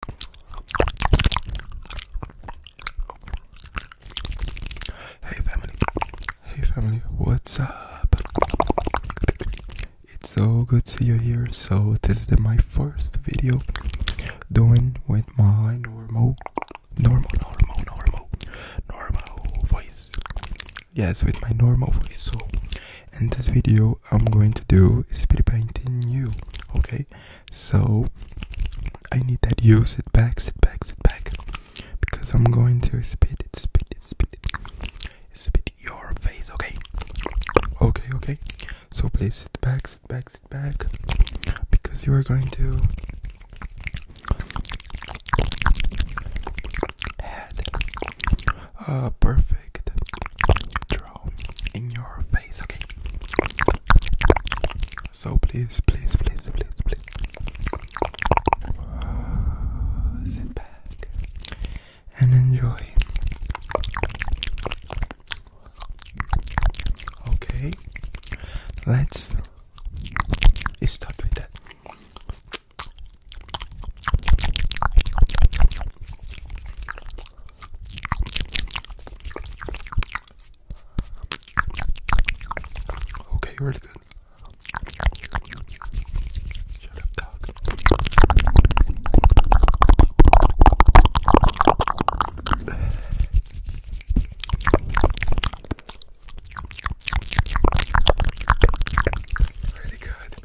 Hey family, hey family, what's up? It's so good to see you here. So this is my first video doing with my normal, normal, normal, normal, normal voice. Yes, with my normal voice. So in this video, I'm going to do speed painting you. Okay, so I need that Use it back, sit back, sit back. Because I'm going to spit it, spit it, spit it. Spit your face, okay? Okay, okay. So please sit back, sit back, sit back. Because you are going to uh, perfect in your face, okay? So please, please, please, please, please uh, sit back and enjoy. Okay, let's start with that. Okay, really good. Shut up, dog. Really good.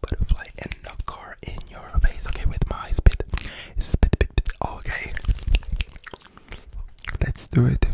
butterfly and a car in your face. Okay, with my spit, spit, spit. Okay, let's do it.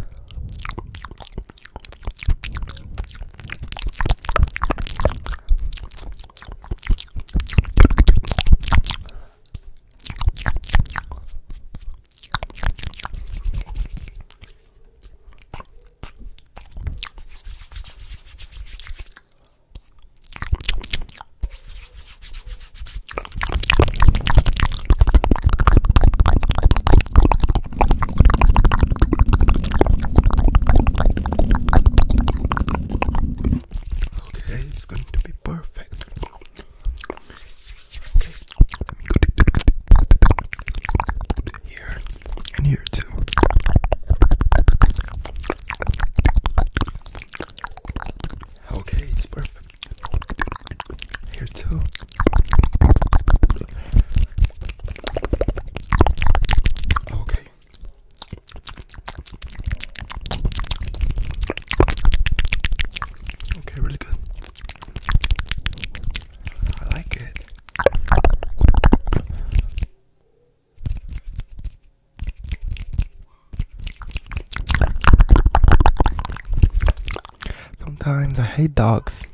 Today is going to be perfect. Okay, let me go here. In here too. Okay, it's perfect. Here too. Okay. Okay, really good. I like it. Sometimes I hate dogs.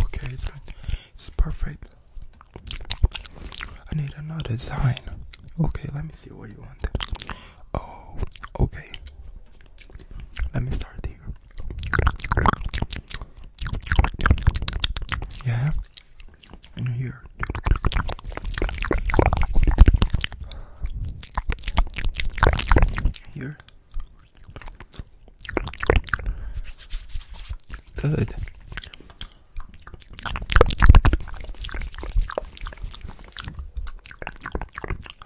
Okay, it's It's perfect. I need another design. Okay, let me see what you want. Oh, okay. Let me start here. Yeah, in here. Here. Good.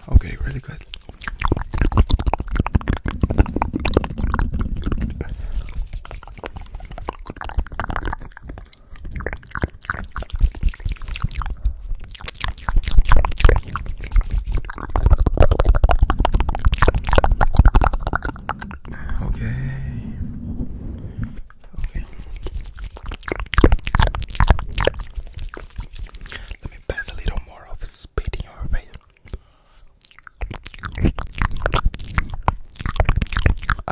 Okay, really good. Okay. Okay. Let me pass a little more of spit your face.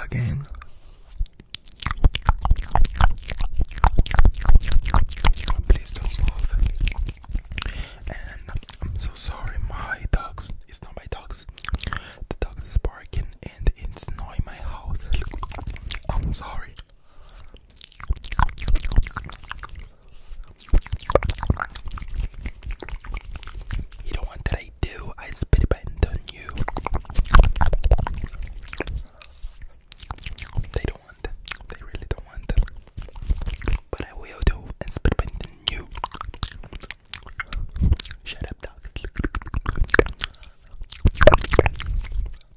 Again. Please don't move. And I'm so sorry, my dogs. It's not my dogs. The dogs are barking and it's not my house. I'm sorry. You don't want that I do, I spit it on you. They don't want that, they really don't want that. But I will do and spit it on you. Shut up, dog.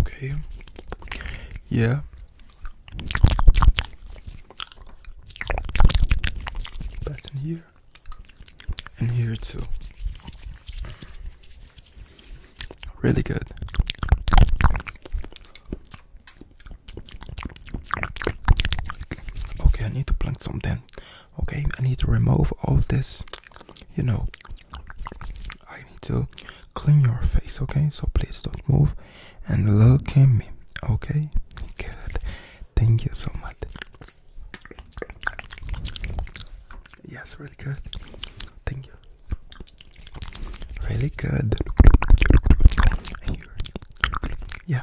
Okay. Yeah. That's in here. And here too. Really good. Okay, I need to plant something. Okay, I need to remove all this, you know. I need to clean your face, okay? So please don't move and look at me, okay? Good, thank you so much. Yes, really good. Thank you. Really good. Yeah.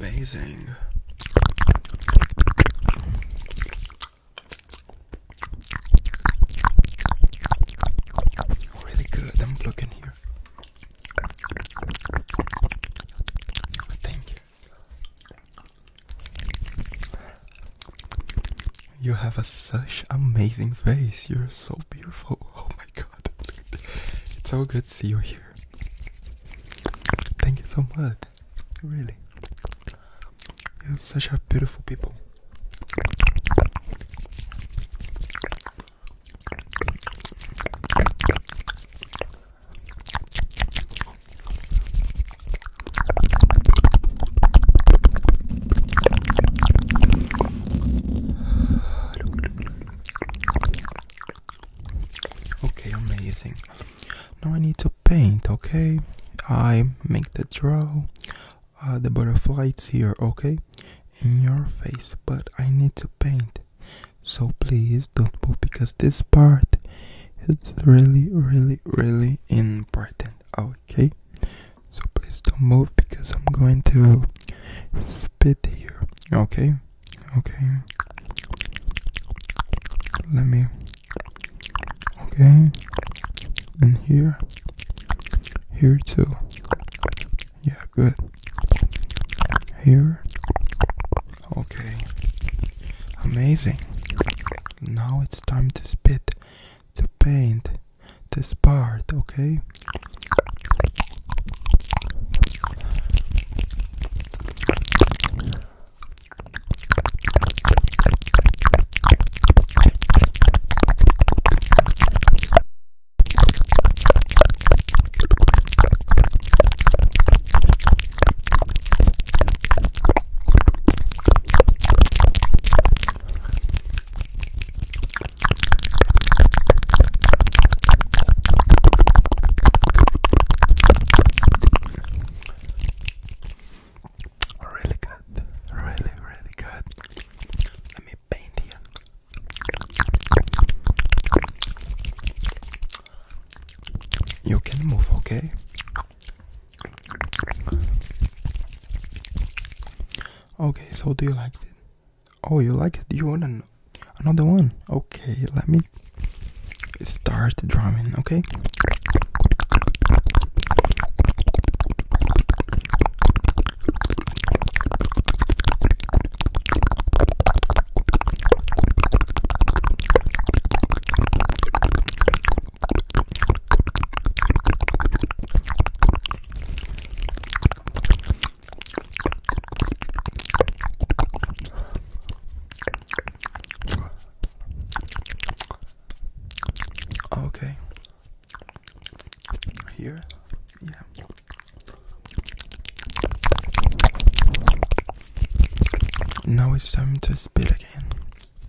Amazing. Really good. I'm looking here. Thank you. You have a such amazing face. You're so beautiful. Oh my god. It's so good to see you here. Thank you so much. Really. You're such a beautiful people. Okay, amazing. Now I need to paint, okay? I make the draw, uh, the butterflies here, okay? In your face, but I need to paint. So please don't move because this part is really, really, really important. Out okay so please don't move because i'm going to spit here okay okay let me okay and here here too yeah good here okay amazing now it's time to spit to paint, this part, okay? Really good, really, really good. Let me paint here. You can move, okay? Okay, so do you like it? Oh, you like it? You want an another one? Okay, let me start drumming, okay? Okay. Here? Yeah. Now it's time to spit again.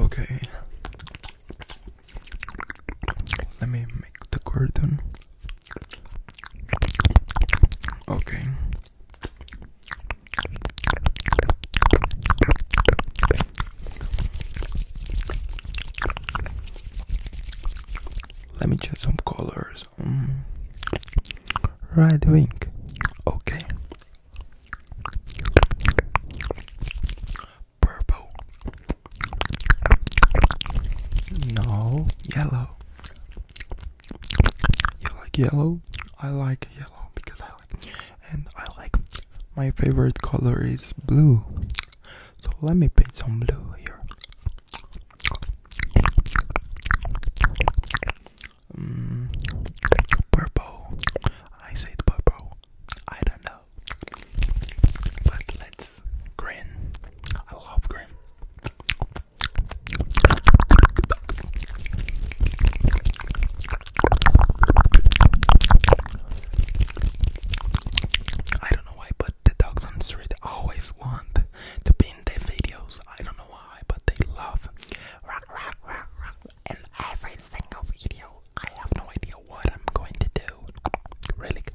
Okay. Let me make the curtain. Okay. Let me choose some colors. Red, mm. Right wing. Okay. Purple. No, yellow. You like yellow? I like yellow because I like and I like my favorite color is blue. So let me paint some blue here. Mm, purple. I said purple. I don't know. But let's green. I love green. I don't know why, but the dogs on the street always want to be in the videos. I don't know why, but they love rock, rock, rock, rock in every single video. I have no idea what I'm going to do. Really good.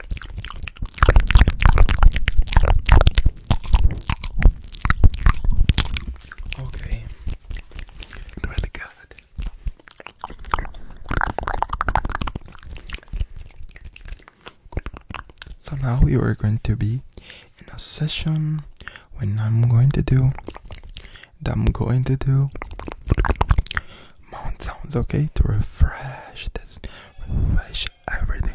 Okay, really good. So now you are going to be in a session when I'm going to do that I'm going to do Mount sounds okay to refresh this, refresh everything.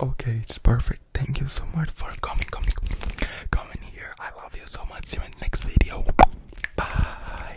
Okay, it's perfect. Thank you so much for coming, coming, coming here. I love you so much. See you in next video. Bye.